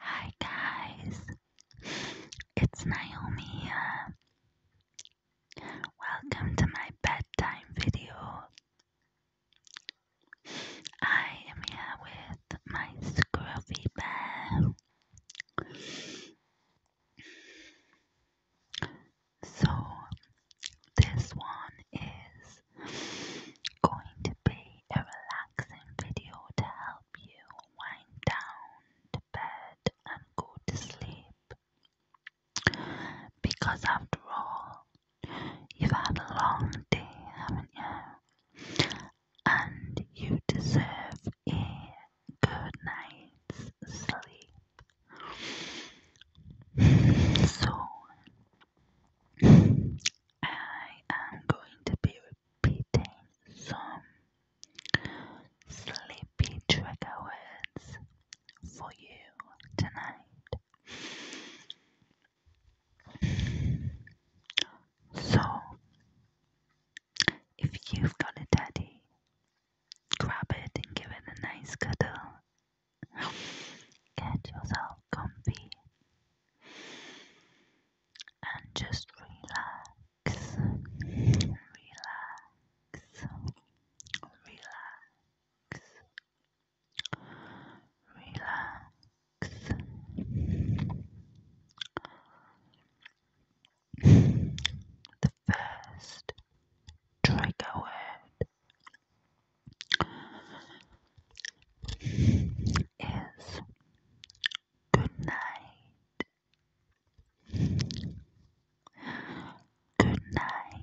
Hi guys, it's Naomi here. Welcome to my bedtime video. I am here with my scruffy bear. So, this one is going to be a relaxing video to help you wind down to bed and go to sleep. Because after all, you've had a long day, haven't you? And you deserve a good night's sleep. So, I am going to be repeating some sleepy trigger words for you tonight. So, if you've got a daddy, grab it and give it a nice cuddle. Get yourself and just relax, relax, relax, relax. The first trigger word is good night. Good night. Good night.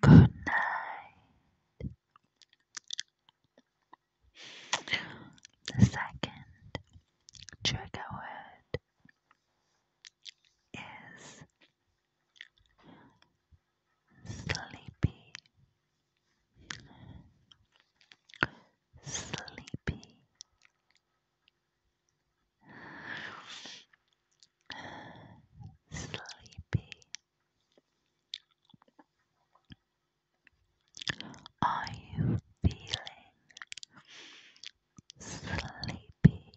Good night. The second trigger word is sleepy, sleepy, Sleepy. Are you feeling sleepy?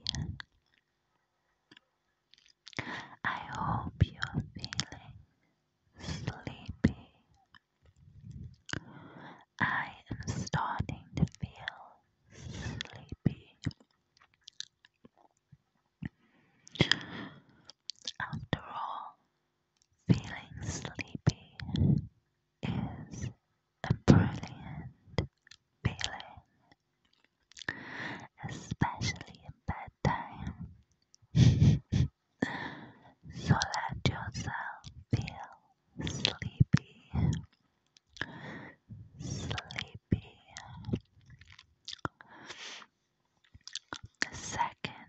I hope you're feeling sleepy. I am starting to feel sleepy. After all, feeling sleepy is a brilliant feeling, especially in bedtime. so let yourself feel sleepy, sleepy. second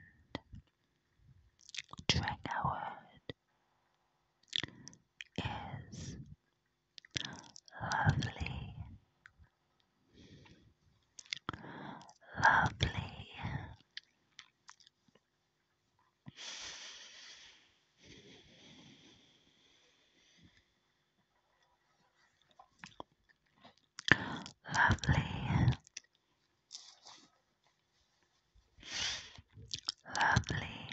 trigger word is lovely, lovely. Lovely. Lovely.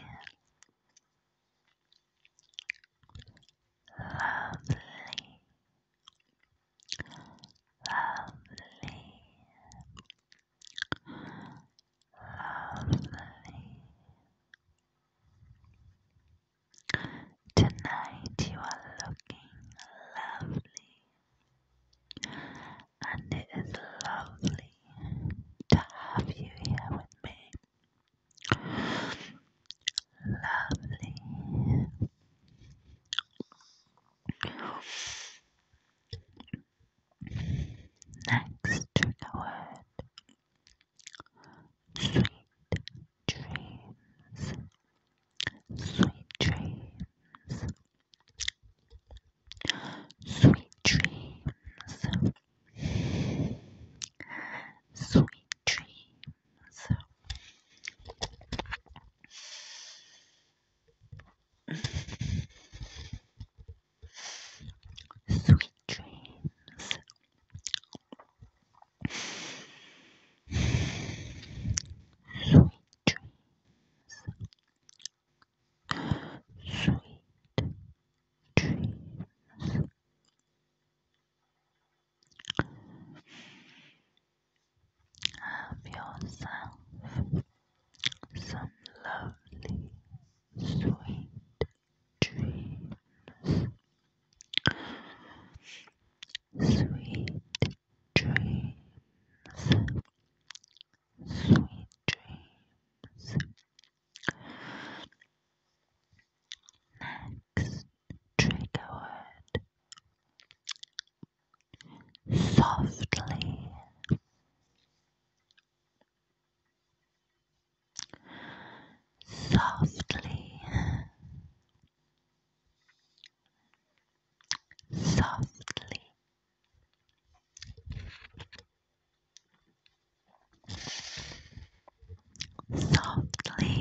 Lovely. Lovely. Lovely. Tonight you are looking lovely, and it is lovely to have you here with me. Lovely. Next trigger word Sweet dreams. Sweet dreams. Sweet dreams. Sweet dreams. Sweet dreams. Sweet dreams. Sweet dreams. Have yourself some lovely, sweet dreams. Sweet dreams. Sweet dreams. Next trigger word softly, softly, softly. Softly, softly,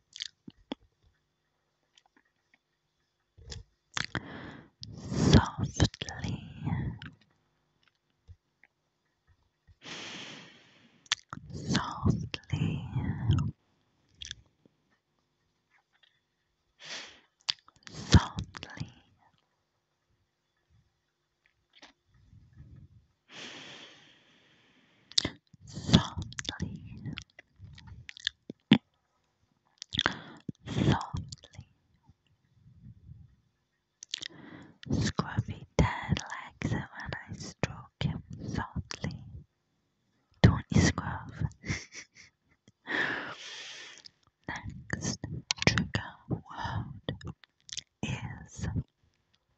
softly softly softly softly, softly. Scruffy Dad likes it when I stroke him softly. Don't you scruff? Next trigger word is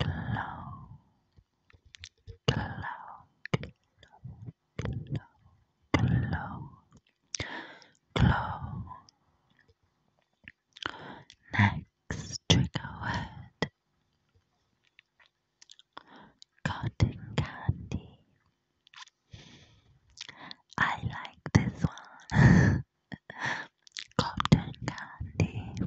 cloud, cloud, cloud, cloud, cloud. Next trigger word cotton candy. I like this one. cotton candy.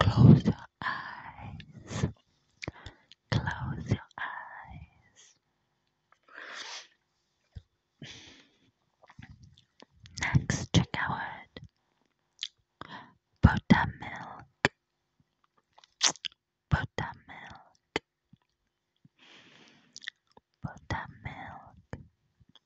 Close your eyes. Close your eyes. Next, check out Buttermilk. Buttermilk. Buttermilk.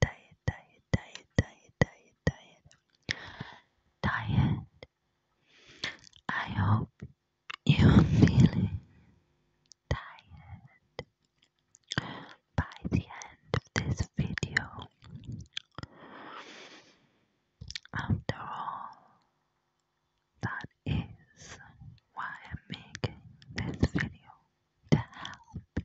diet, diet, diet, diet, diet, diet, diet. I hope you're feeling tired by the end of this video. After all, that is why I'm making this video to help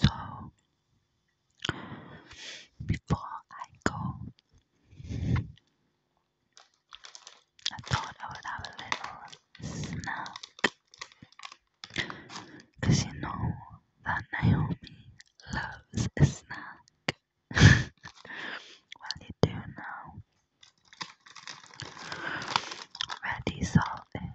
So, before I go, I thought I would have a little snack. you know that Naomi loves a snack. well, you do now. Ready, salted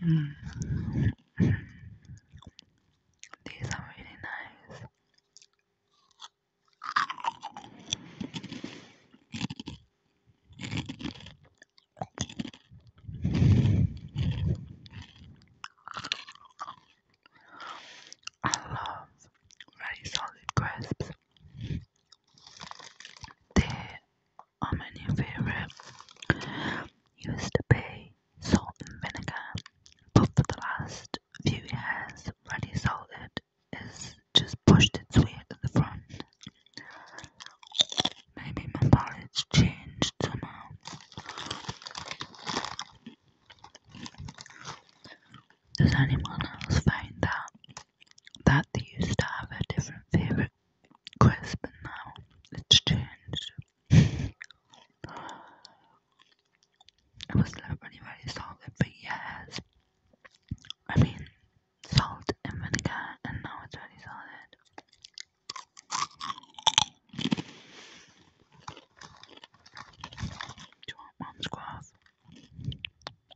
Hmm. These are really nice. I love very solid crisps. There are many favorite. Used to be salt and vinegar, but for the last few years, ready salted is just pushed its way to the front. Maybe my palate's changed somehow. Does anyone else find that that they used to have a different favorite crisp, but now it's changed. it was literally very salted for years. I mean, salt and vinegar, and now it's really solid. Do you want mom's graph?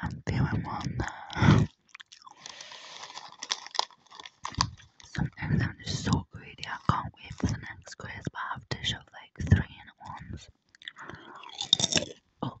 I'm feeling well Sometimes I'm just so greedy, I can't wait for the next quiz, but I have to show like three in at once. Oh.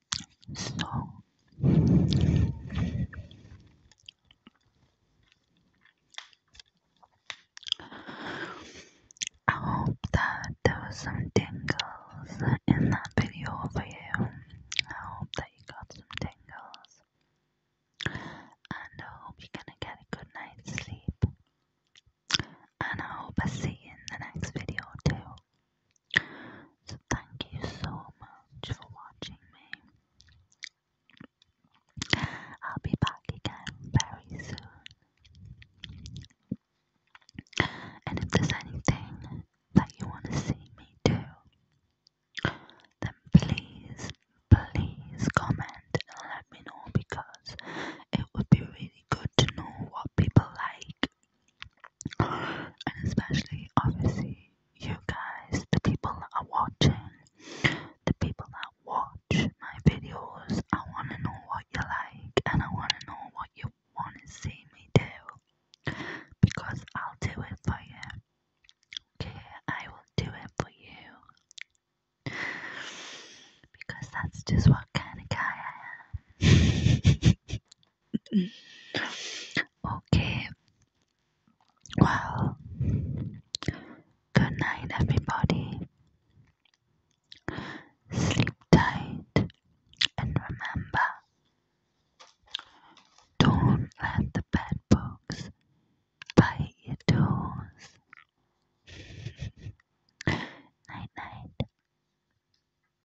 So I hope that there was some tingles in that video for you. I hope that you got some tingles. And I hope you're gonna get a good night's sleep. And I hope I see you in the next video too. So thank you so much for watching me. I'll be back again very soon. And if there's anything that you want to see me do, then please, please comment and let me know because it would be really good to know what people like and especially obviously you guys the people that are watching the people that watch my videos i want to know what you like and i want to know what you want to see me do because i'll do it for you okay i will do it for you because that's just what kind of guy i am okay. Well, good night, everybody. Sleep tight and remember don't let the bad bugs bite your toes. night, night.